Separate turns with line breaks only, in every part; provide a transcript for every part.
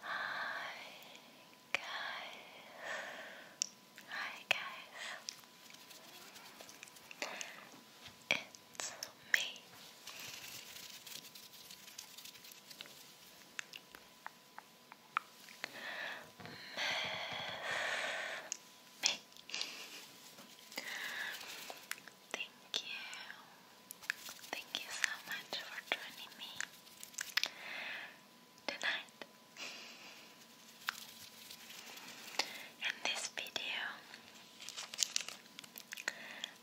Hi guys. Hi guys. It's me. Miss Thank you. Thank you so much for joining me tonight. In this video,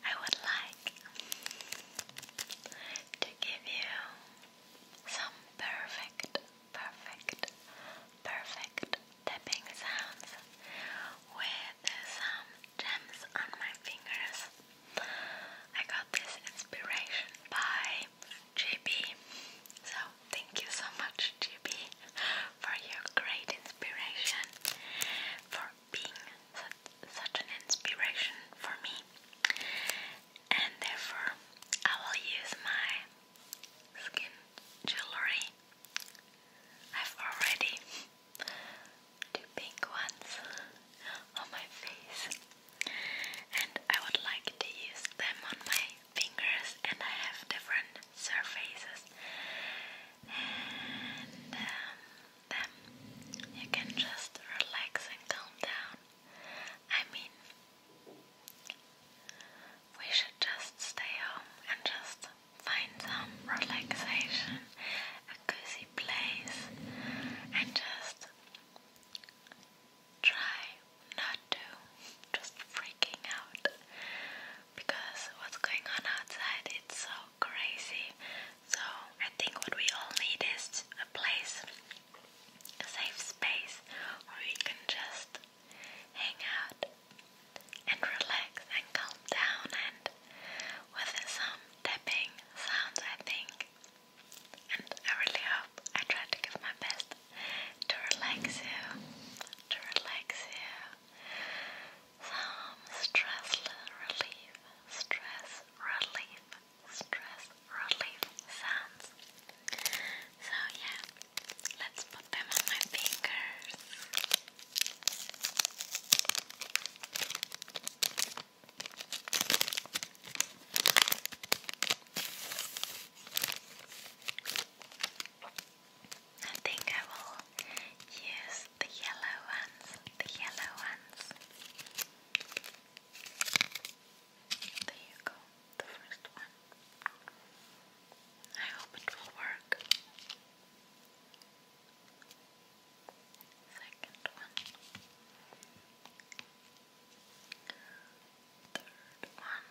I would like to give you some perfect, perfect, perfect, tapping sounds with some gems on my fingers. I got this inspiration by GB. So, thank you so much, GB, for your great inspiration, for being such, such an inspiration for me. And therefore, I will use my skin jewelry I've already two pink ones on my face, and I would like to use them on my fingers. And I have different surfaces, and um, then you can just relax and calm down. I mean, we should just stay home and just Find some relaxation, a cozy place, and just try not to just freaking out because what's going on outside it's so crazy. So I think what we all need is a place, a safe space where we can just hang out and relax and calm down and with some tapping sounds I think and I really hope I tried to give my best to relax you to relax you some stress relief stress relief stress relief sounds so yeah let's I'm on my fingers. I think I will use the yellow ones, the yellow ones. There you go, the first one. I hope it will work second one, third one, and the fourth one.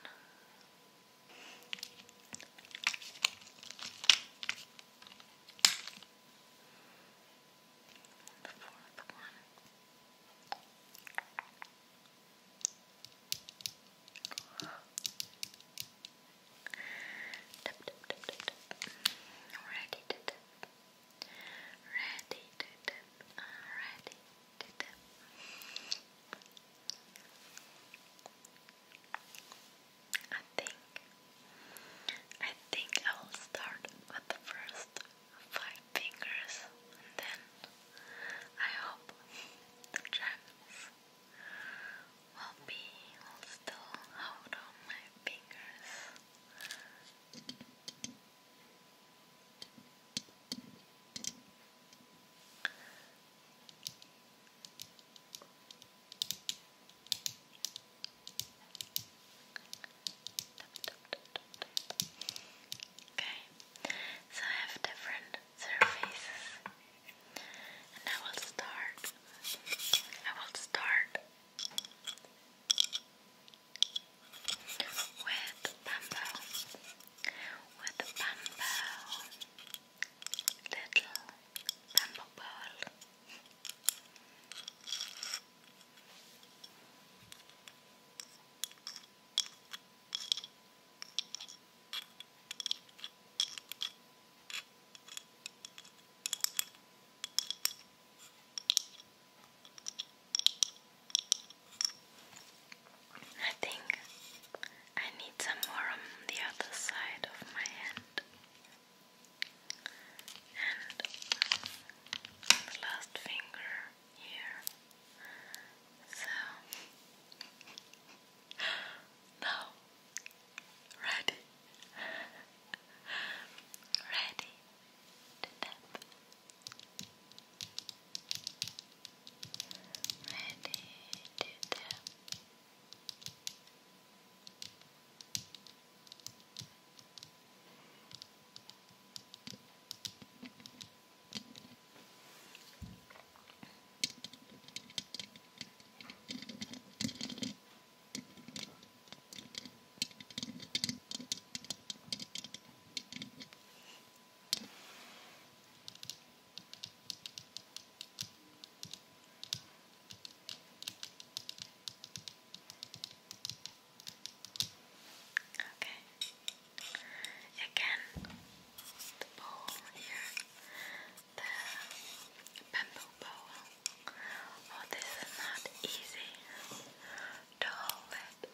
Wow. Tap, tap, Ready Ready Ready I think I think I will start with the first five fingers and then I hope the gems will be still out of my fingers. Okay, so I have different surfaces I will start. I will start with bamboo, with bamboo, little bamboo ball. I think I need some more on the other side of my hand. And last finger here. So now, ready, ready to tap, ready to tap. Okay. Again, the bowl here the bamboo bowl. Oh, this is not easy to hold it.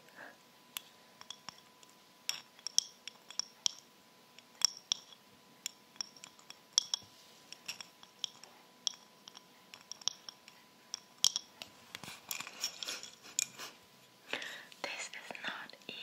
this is not easy.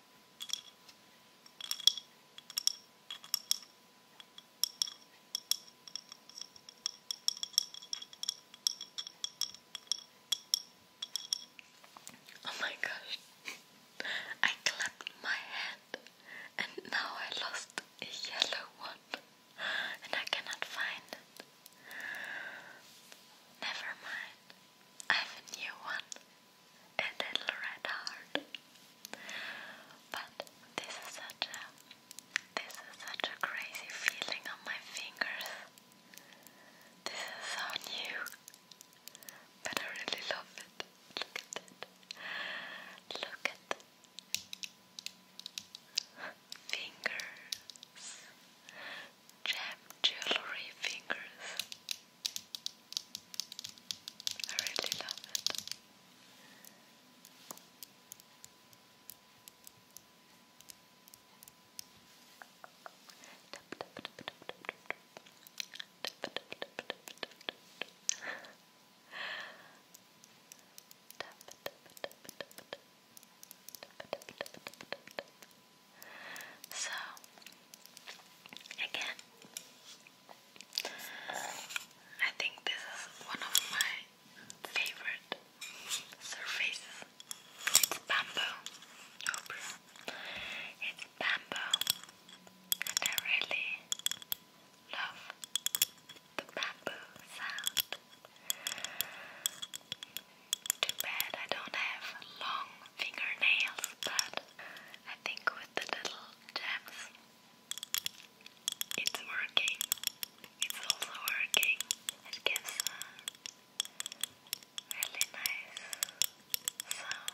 Oh my gosh, I clapped my hand and now I lost a yellow one and I cannot find it. Never mind, I have a new one a little red heart. But this is such a this is such a crazy feeling on my fingers. This is so new, but I really love it. Look at it. Look at the fingers. Jam jewelry fingers. I really love it. So, again, I think this is one of my favorite surfaces. It's bamboo. It's bamboo, and I really love the bamboo sound. Too bad I don't have long fingernails, but I think with the little gems. It's working. It's also working. It gives really nice sound.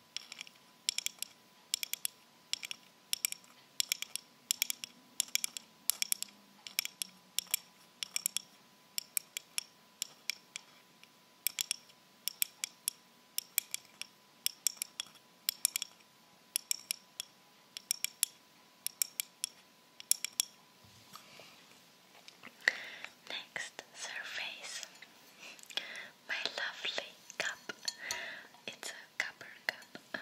Next surface my lovely cup. It's a copper cup.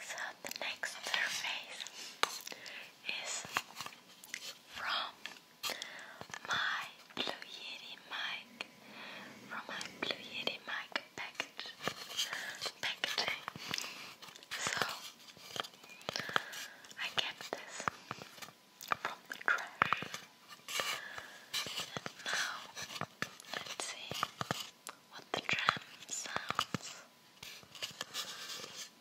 So the next surface is from my Blue Yeti mic from my Blue Yeti mic package packaging. So I kept this from the trash. And now let's see what the drum sounds.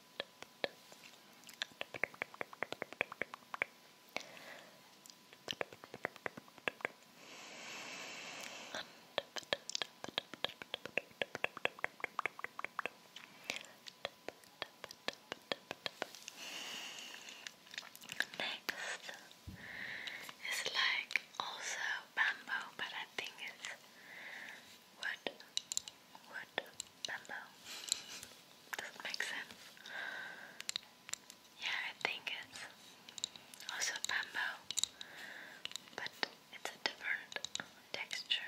Next is like also bamboo, but I think it's wood wood pillow. Does it make sense? Yeah, I think it's also bamboo, but it's a different texture.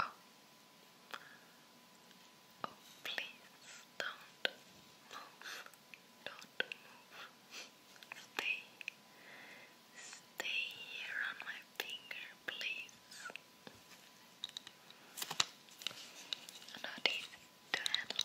Oh. Oh, please don't move. Don't move. Stay. Stay here on my finger, please. Not easy to handle.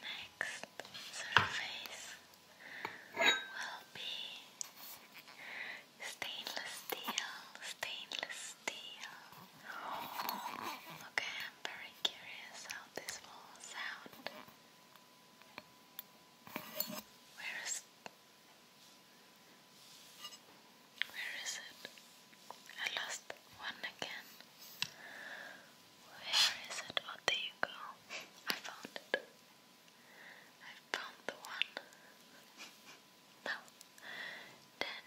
Next surface will be stainless steel, stainless steel. Okay, I'm very curious how this will sound. Where is where is it? I lost one again. Where is it? Oh, there you go. I found it. I found the one. now, ten.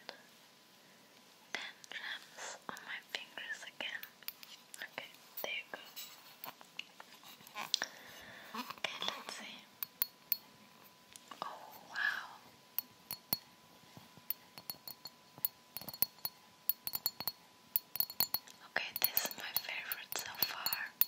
Ten gems on my fingers again. Okay, there you go. Okay, let's see. Oh, wow. Okay, this is my favorite so far. Okay,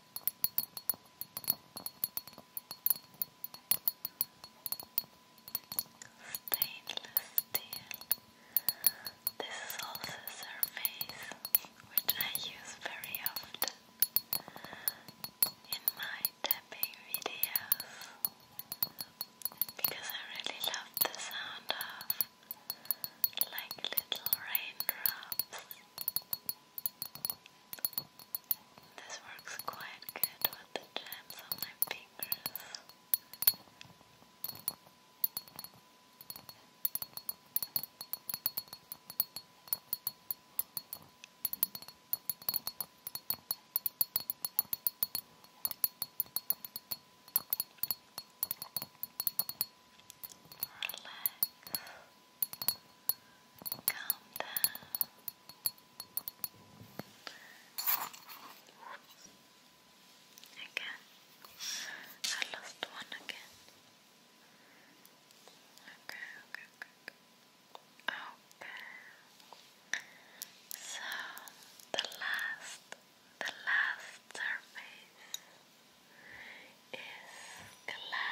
Stainless steel. This is also a surface which I use very often in my tapping videos because I really love the sound of like little raindrops this works quite good with the jams on my fingers. Relax. Calm down. Again, I lost one again. Okay, okay, okay, okay. So the last, the last surface is glass.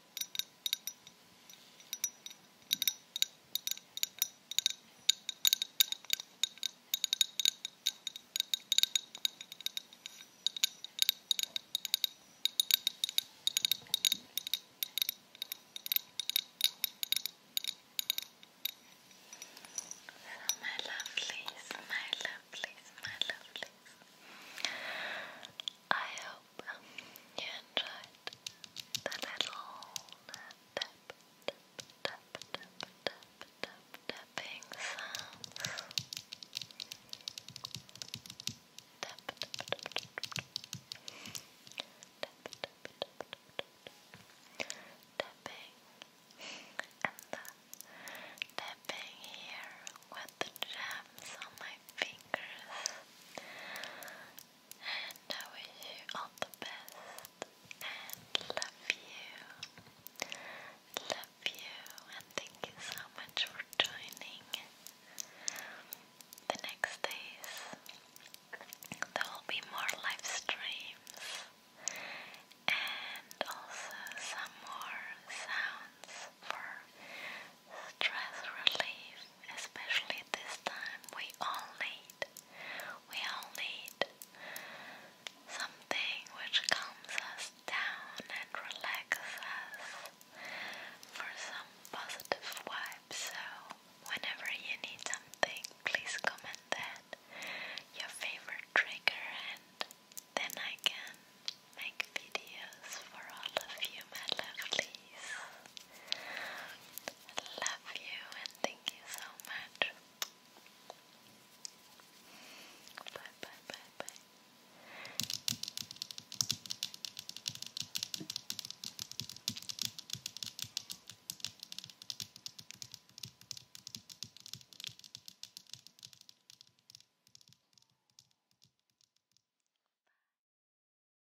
So my lovelies, my lovelies, my lovelies. I hope you enjoyed the little tap, tap, tap, tap, tap, tap, tapping sounds. tap, tap, tap, tap, tapping, and the tapping here with the gems on my fingers and I wish you all the best and love you, love you, and thank you so much for joining. The next days there will be more live streams and also some more sounds for stress relief, especially this time. We all need, we all need something which calms us down and relaxes us for some positive vibes. So, whenever you need something, please comment that your favorite trigger, and then I can make videos for all of you, my lovelies. I love you and thank you so much. Bye bye bye bye.